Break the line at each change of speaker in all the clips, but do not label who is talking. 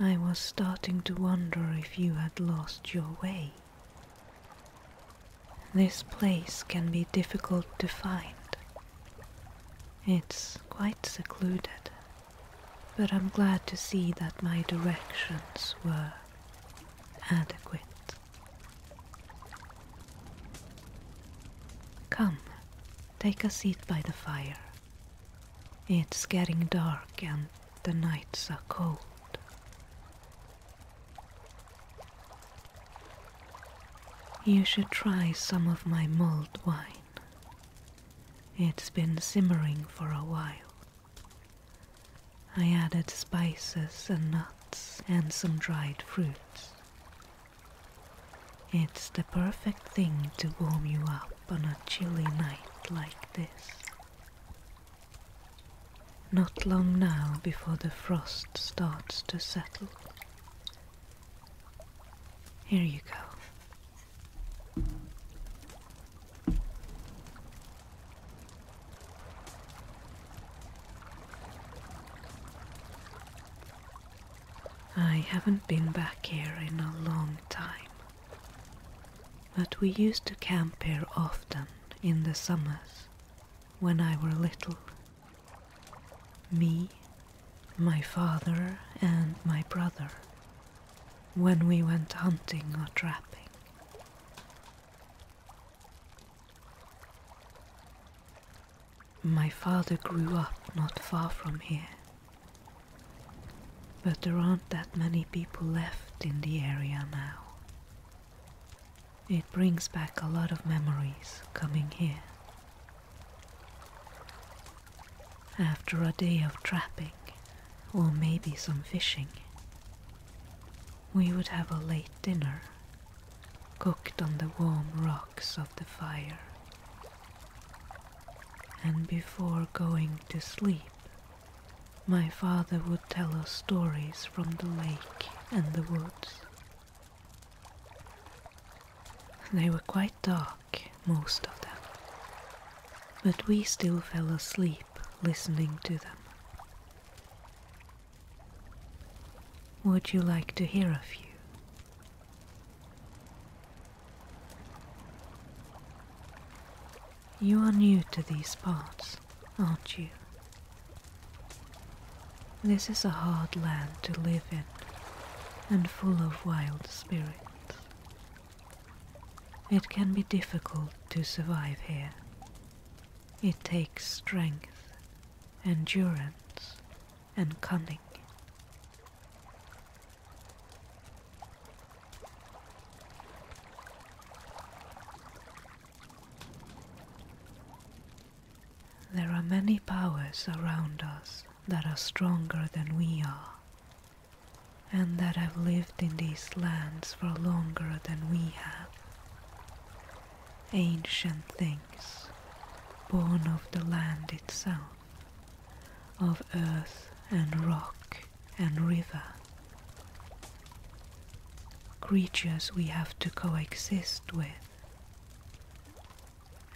I was starting to wonder if you had lost your way. This place can be difficult to find. It's quite secluded but I'm glad to see that my directions were adequate. Come, take a seat by the fire. It's getting dark and the nights are cold. You should try some of my mulled wine. It's been simmering for a while. I added spices and nuts and some dried fruits. It's the perfect thing to warm you up on a chilly night like this. Not long now before the frost starts to settle. Here you go. I haven't been back here in a long time, but we used to camp here often in the summers when I were little. Me, my father, and my brother when we went hunting or trapping. My father grew up not far from here, but there aren't that many people left in the area now. It brings back a lot of memories coming here after a day of trapping or maybe some fishing. We would have a late dinner, cooked on the warm rocks of the fire. And before going to sleep, my father would tell us stories from the lake and the woods. They were quite dark most of them. But we still fell asleep listening to them. Would you like to hear a few? You are new to these parts, aren't you? This is a hard land to live in and full of wild spirits. It can be difficult to survive here. It takes strength, endurance, and cunning. There are many powers around us that are stronger than we are and that have lived in these lands for longer than we have. Ancient things, born of the land itself, of earth and rock and river. Creatures we have to coexist with.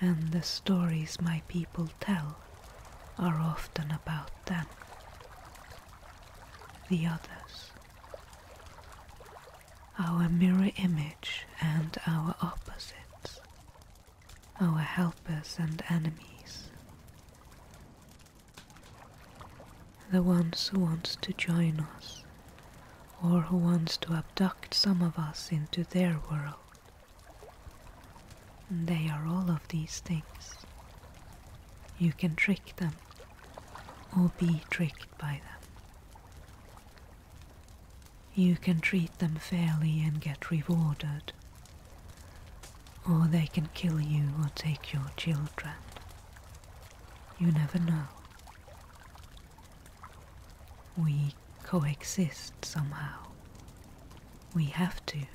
And the stories my people tell are often about them, the others, our mirror image and our opposites, our helpers and enemies, the ones who want to join us or who wants to abduct some of us into their world. And they are all of these things. You can trick them or be tricked by them. You can treat them fairly and get rewarded, or they can kill you or take your children. You never know. We coexist somehow. We have to.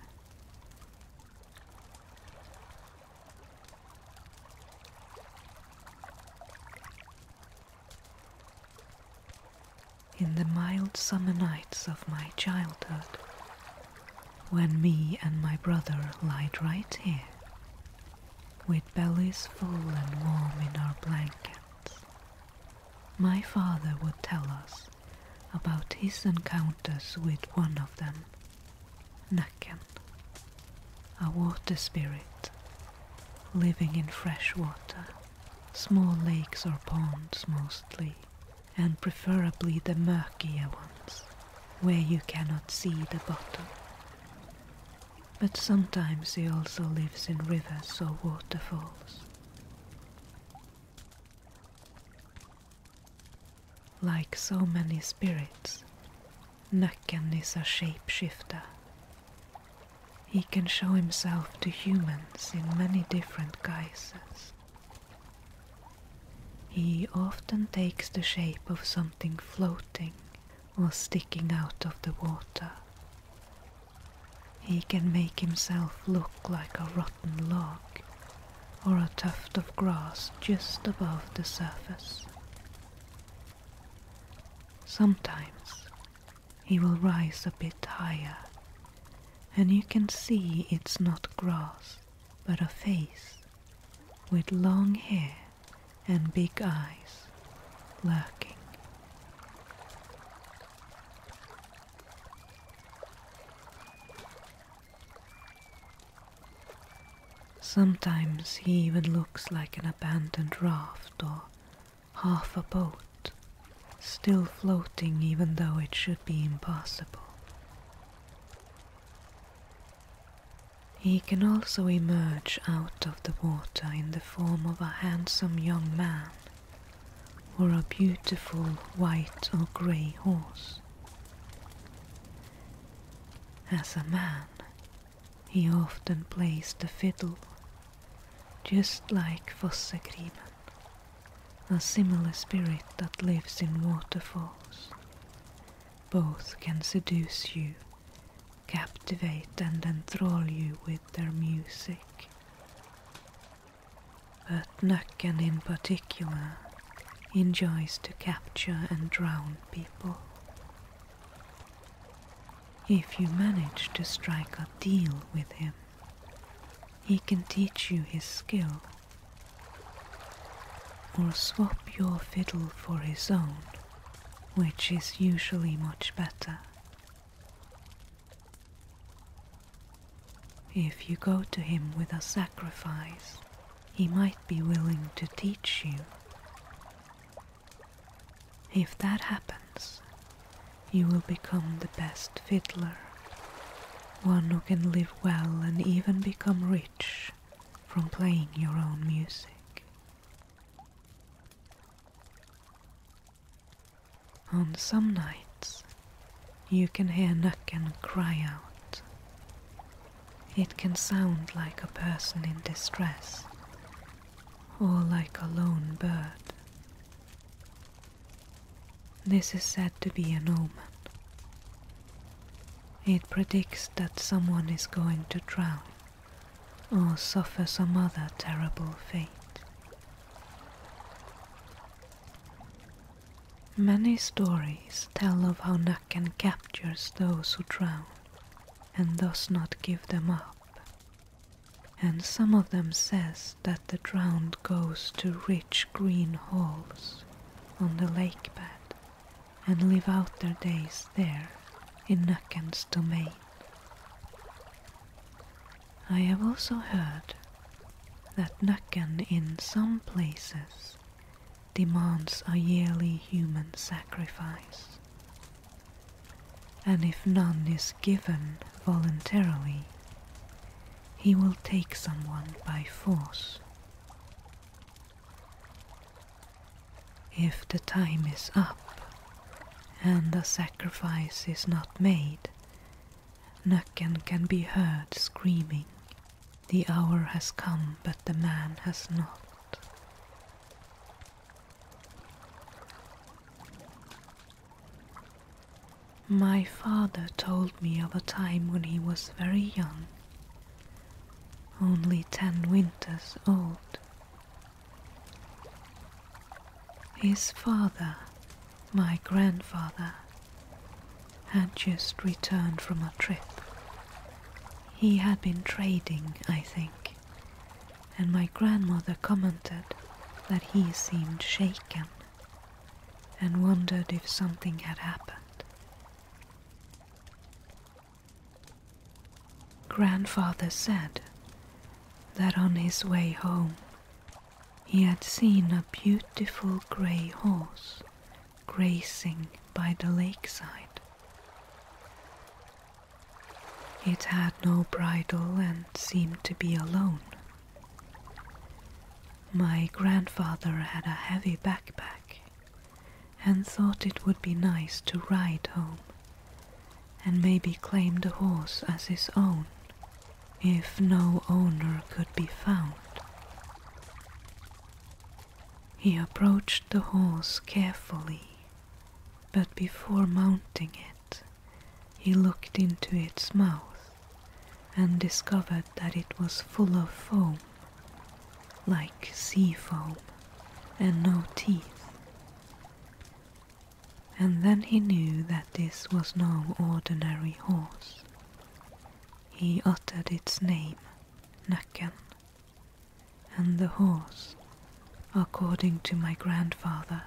In the mild summer nights of my childhood, when me and my brother lied right here, with bellies full and warm in our blankets, my father would tell us about his encounters with one of them, Naken, a water spirit living in fresh water, small lakes or ponds mostly, and preferably the murkier ones, where you cannot see the bottom. But sometimes he also lives in rivers or waterfalls. Like so many spirits, Nakan is a shapeshifter. He can show himself to humans in many different guises. He often takes the shape of something floating or sticking out of the water. He can make himself look like a rock rotten log or a tuft of grass just above the surface. Sometimes he will rise a bit higher, and you can see it's not grass but a face with long hair and big eyes lurking. Sometimes he even looks like an abandoned raft or half a boat, still floating even though it should be impossible. He can also emerge out of the water in the form of a handsome young man or a beautiful white or grey horse. As a man, he often plays the fiddle, just like Fossegriven, a similar spirit that lives in waterfalls. Both can seduce you, captivate and enthrall you with their music but Nukken in particular enjoys to capture and drown people. If you manage to strike a deal with him, he can teach you his skill or swap your fiddle for his own, which is usually much better. If you go to him with a sacrifice, he might be willing to teach you. If that happens, you will become the best fiddler, one who can live well and even become rich from playing your own music. On some nights, you can hear Nukken cry out. It can sound like a person in distress or like a lone bird. This is said to be an omen. It predicts that someone is going to drown or suffer some other terrible fate. Many stories tell of how Nakan captures those who drown and does not give them up. And some of them says that the drowned goes to rich green halls on the lake bed and live out their days there in Nakan's domain. I have also heard that Nakan in some places demands a yearly human sacrifice, and if none is given voluntarily, he will take someone by force. If the time is up and the sacrifice is not made, Nakken can be heard screaming. The hour has come, but the man has not. My father told me of a time when he was very young, only ten winters old. His father, my grandfather, had just returned from a trip. He had been trading, I think, and my grandmother commented that he seemed shaken and wondered if something had happened. Grandfather said that on his way home he had seen a beautiful grey horse grazing by the lakeside. It had no bridle and seemed to be alone. My grandfather had a heavy backpack and thought it would be nice to ride home and maybe claim the horse as his own if no owner could be found. He approached the horse carefully, but before mounting it, he looked into its mouth and discovered that it was full of foam, like sea foam, and no teeth. And then he knew that this was no ordinary horse. He uttered its name, Naken. and the horse, according to my grandfather,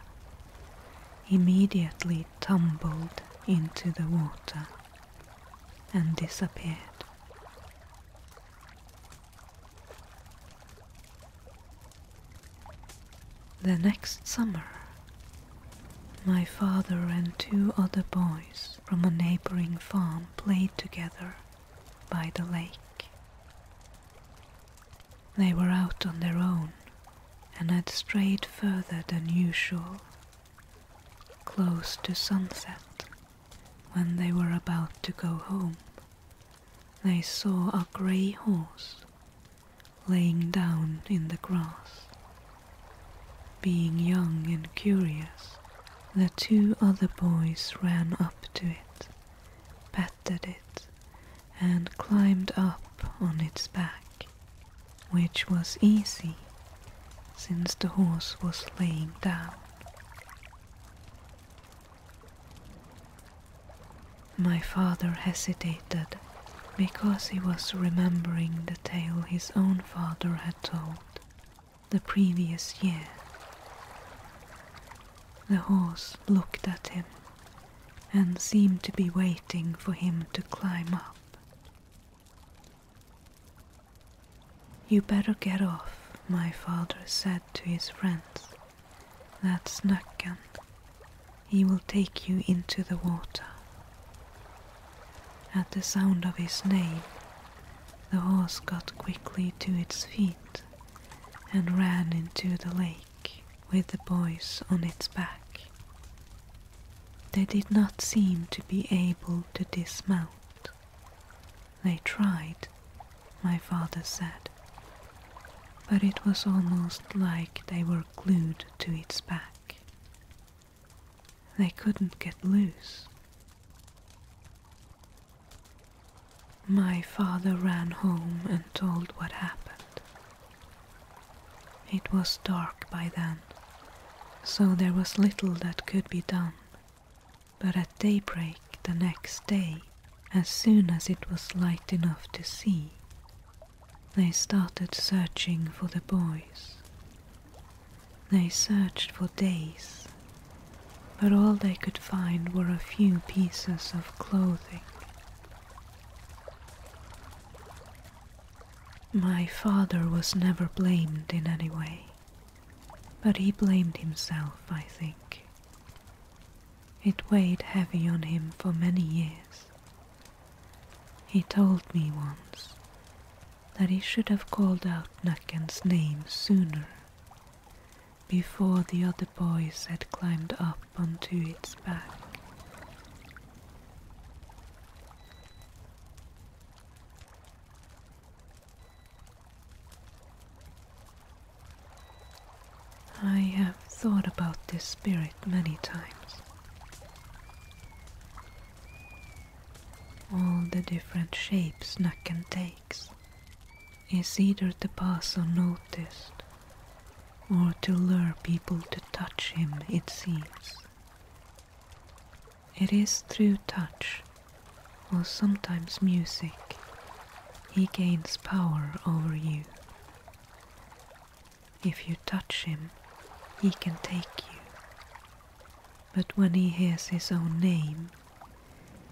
immediately tumbled into the water and disappeared. The next summer, my father and two other boys from a neighboring farm played together by the lake. They were out on their own and had strayed further than usual, close to sunset, when they were about to go home. They saw a grey horse laying down in the grass. Being young and curious, the two other boys ran up to it, petted it, and climbed up on its back, which was easy since the horse was laying down. My father hesitated because he was remembering the tale his own father had told the previous year. The horse looked at him and seemed to be waiting for him to climb up. You better get off, my father said to his friends. That's Nackan. He will take you into the water. At the sound of his name, the horse got quickly to its feet and ran into the lake with the boys on its back. They did not seem to be able to dismount. They tried, my father said, but it was almost like they were glued to its back. They couldn't get loose. My father ran home and told what happened. It was dark by then, so there was little that could be done. But at daybreak the next day, as soon as it was light enough to see, they started searching for the boys. They searched for days, but all they could find were a few pieces of clothing. My father was never blamed in any way, but he blamed himself, I think. It weighed heavy on him for many years, he told me once that he should have called out Naken's name sooner, before the other boys had climbed up onto its back. I have thought about this spirit many times. All the different shapes Nakan takes is either to pass unnoticed or to lure people to touch him, it seems. It is through touch, or sometimes music, he gains power over you. If you touch him, he can take you. But when he hears his own name,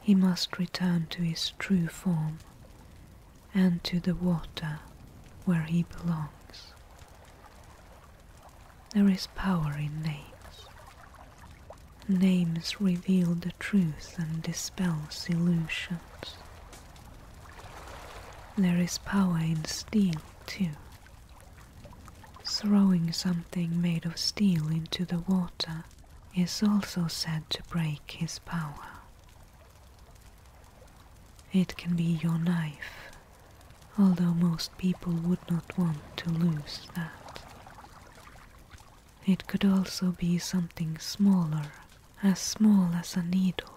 he must return to his true form and to the water where he belongs. There is power in names. Names reveal the truth and dispels illusions. There is power in steel, too. Throwing something made of steel into the water is also said to break his power. It can be your knife, although most people would not want to lose that. It could also be something smaller, as small as a needle,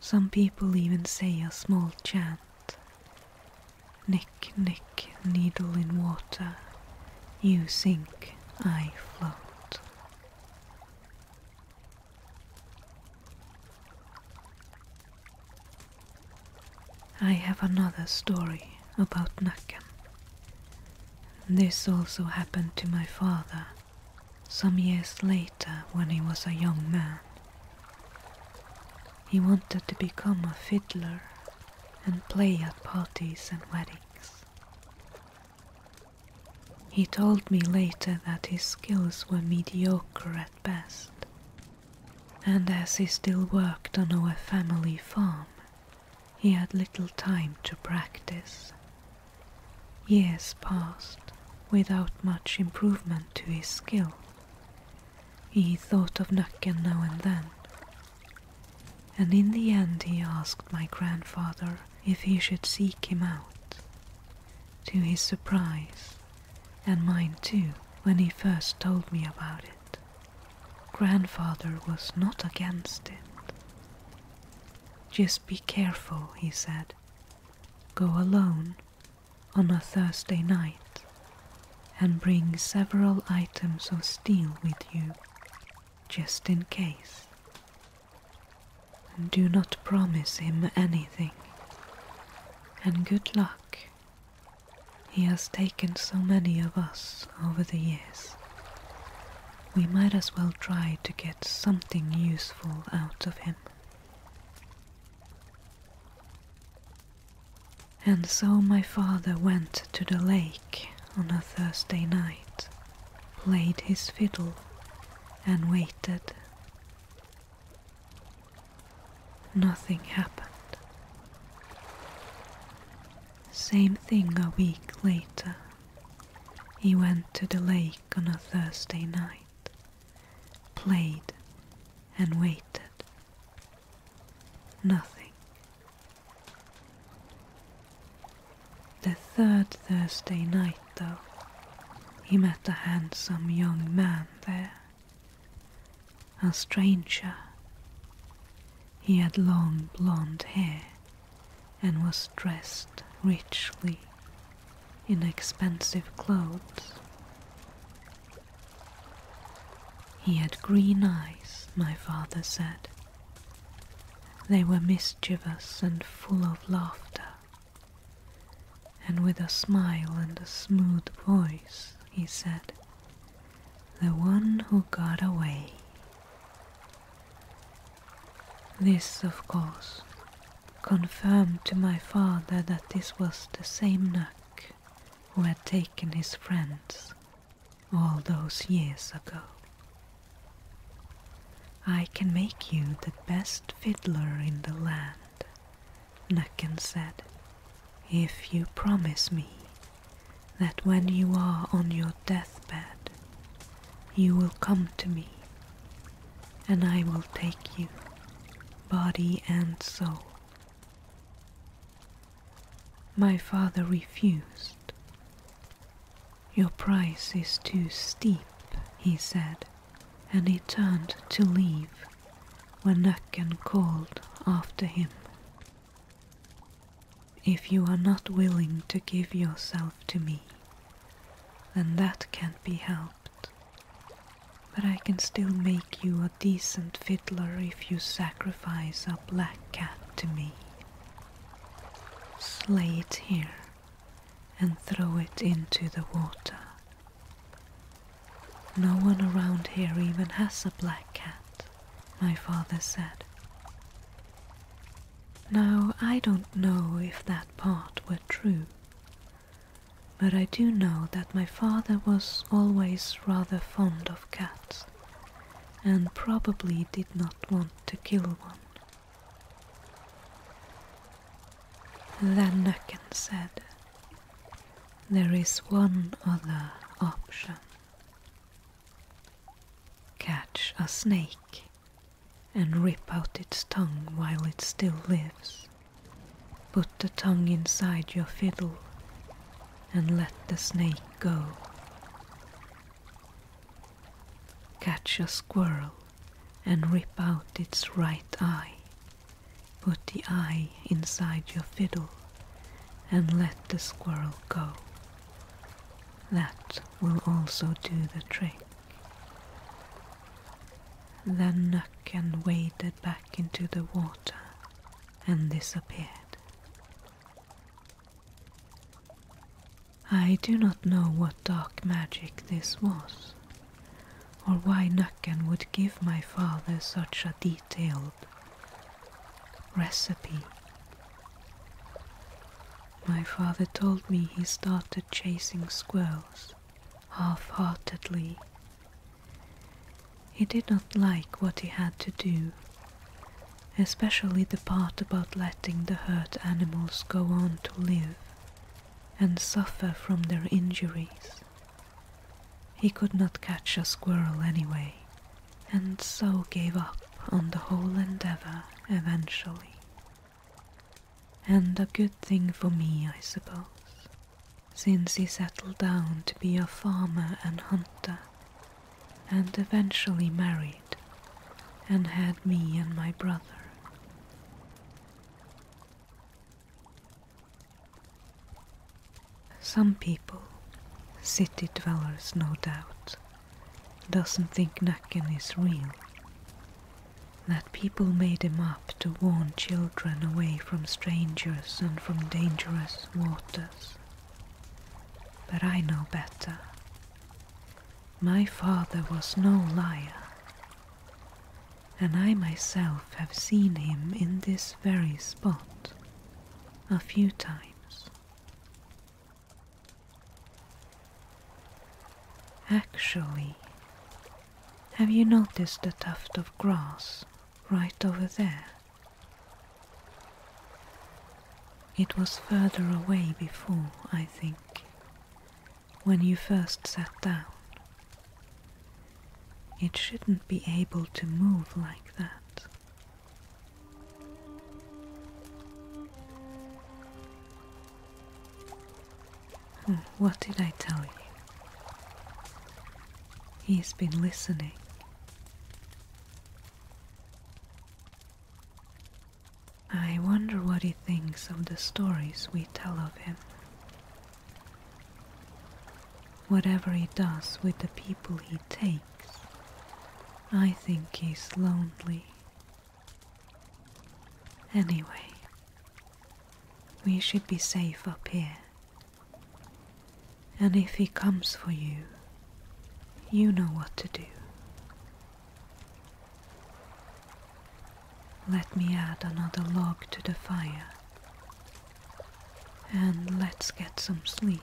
some people even say a small chant Nick, nick, needle in water, you sink, I float. I have another story about Nakan. This also happened to my father some years later, when he was a young man, he wanted to become a fiddler and play at parties and weddings. He told me later that his skills were mediocre at best, and as he still worked on our family farm, he had little time to practice. Years passed without much improvement to his skill. He thought of Nucken now and then, and in the end he asked my grandfather if he should seek him out. To his surprise, and mine too, when he first told me about it, grandfather was not against it. Just be careful, he said. Go alone on a Thursday night and bring several items of steel with you, just in case. Do not promise him anything. And good luck. He has taken so many of us over the years we might as well try to get something useful out of him. And so my father went to the lake on a Thursday night, played his fiddle, and waited. Nothing happened. Same thing a week later. He went to the lake on a Thursday night, played, and waited. Nothing. The third Thursday night, though, he met a handsome young man there, a stranger. He had long blonde hair and was dressed richly in expensive clothes. He had green eyes, my father said. They were mischievous and full of laughter. And with a smile and a smooth voice, he said, The one who got away. This, of course, confirmed to my father that this was the same Nuck who had taken his friends all those years ago. I can make you the best fiddler in the land, Nucken said, if you promise me that when you are on your deathbed, you will come to me, and I will take you, body and soul. My father refused. Your price is too steep, he said, and he turned to leave when Nakken called after him. If you are not willing to give yourself to me, then that can't be helped. But I can still make you a decent fiddler if you sacrifice a black cat to me. Slay it here and throw it into the water. No one around here even has a black cat, my father said. Now, I don't know if that part were true, but I do know that my father was always rather fond of cats and probably did not want to kill one. Then Nucken said, There is one other option. Catch a snake and rip out its tongue while it still lives. Put the tongue inside your fiddle and let the snake go. Catch a squirrel and rip out its right eye. Put the eye inside your fiddle and let the squirrel go. That will also do the trick. Then Nucken waded back into the water and disappeared. I do not know what dark magic this was, or why Nucken would give my father such a detailed recipe. My father told me he started chasing squirrels half heartedly. He did not like what he had to do, especially the part about letting the hurt animals go on to live and suffer from their injuries. He could not catch a squirrel anyway, and so gave up on the whole endeavour eventually. And a good thing for me, I suppose, since he settled down to be a farmer and hunter, and eventually married and had me and my brother. Some people, city dwellers no doubt, doesn't think Nacken is real. That people made him up to warn children away from strangers and from dangerous waters. But I know better. My father was no liar, and I myself have seen him in this very spot a few times. Actually, have you noticed the tuft of grass right over there? It was further away before, I think, when you first sat down. It shouldn't be able to move like that. Hmm, what did I tell you? He's been listening. I wonder what he thinks of the stories we tell of him. Whatever he does with the people he takes I think he's lonely. Anyway, we should be safe up here. And if he comes for you, you know what to do. Let me add another log to the fire. And let's get some sleep.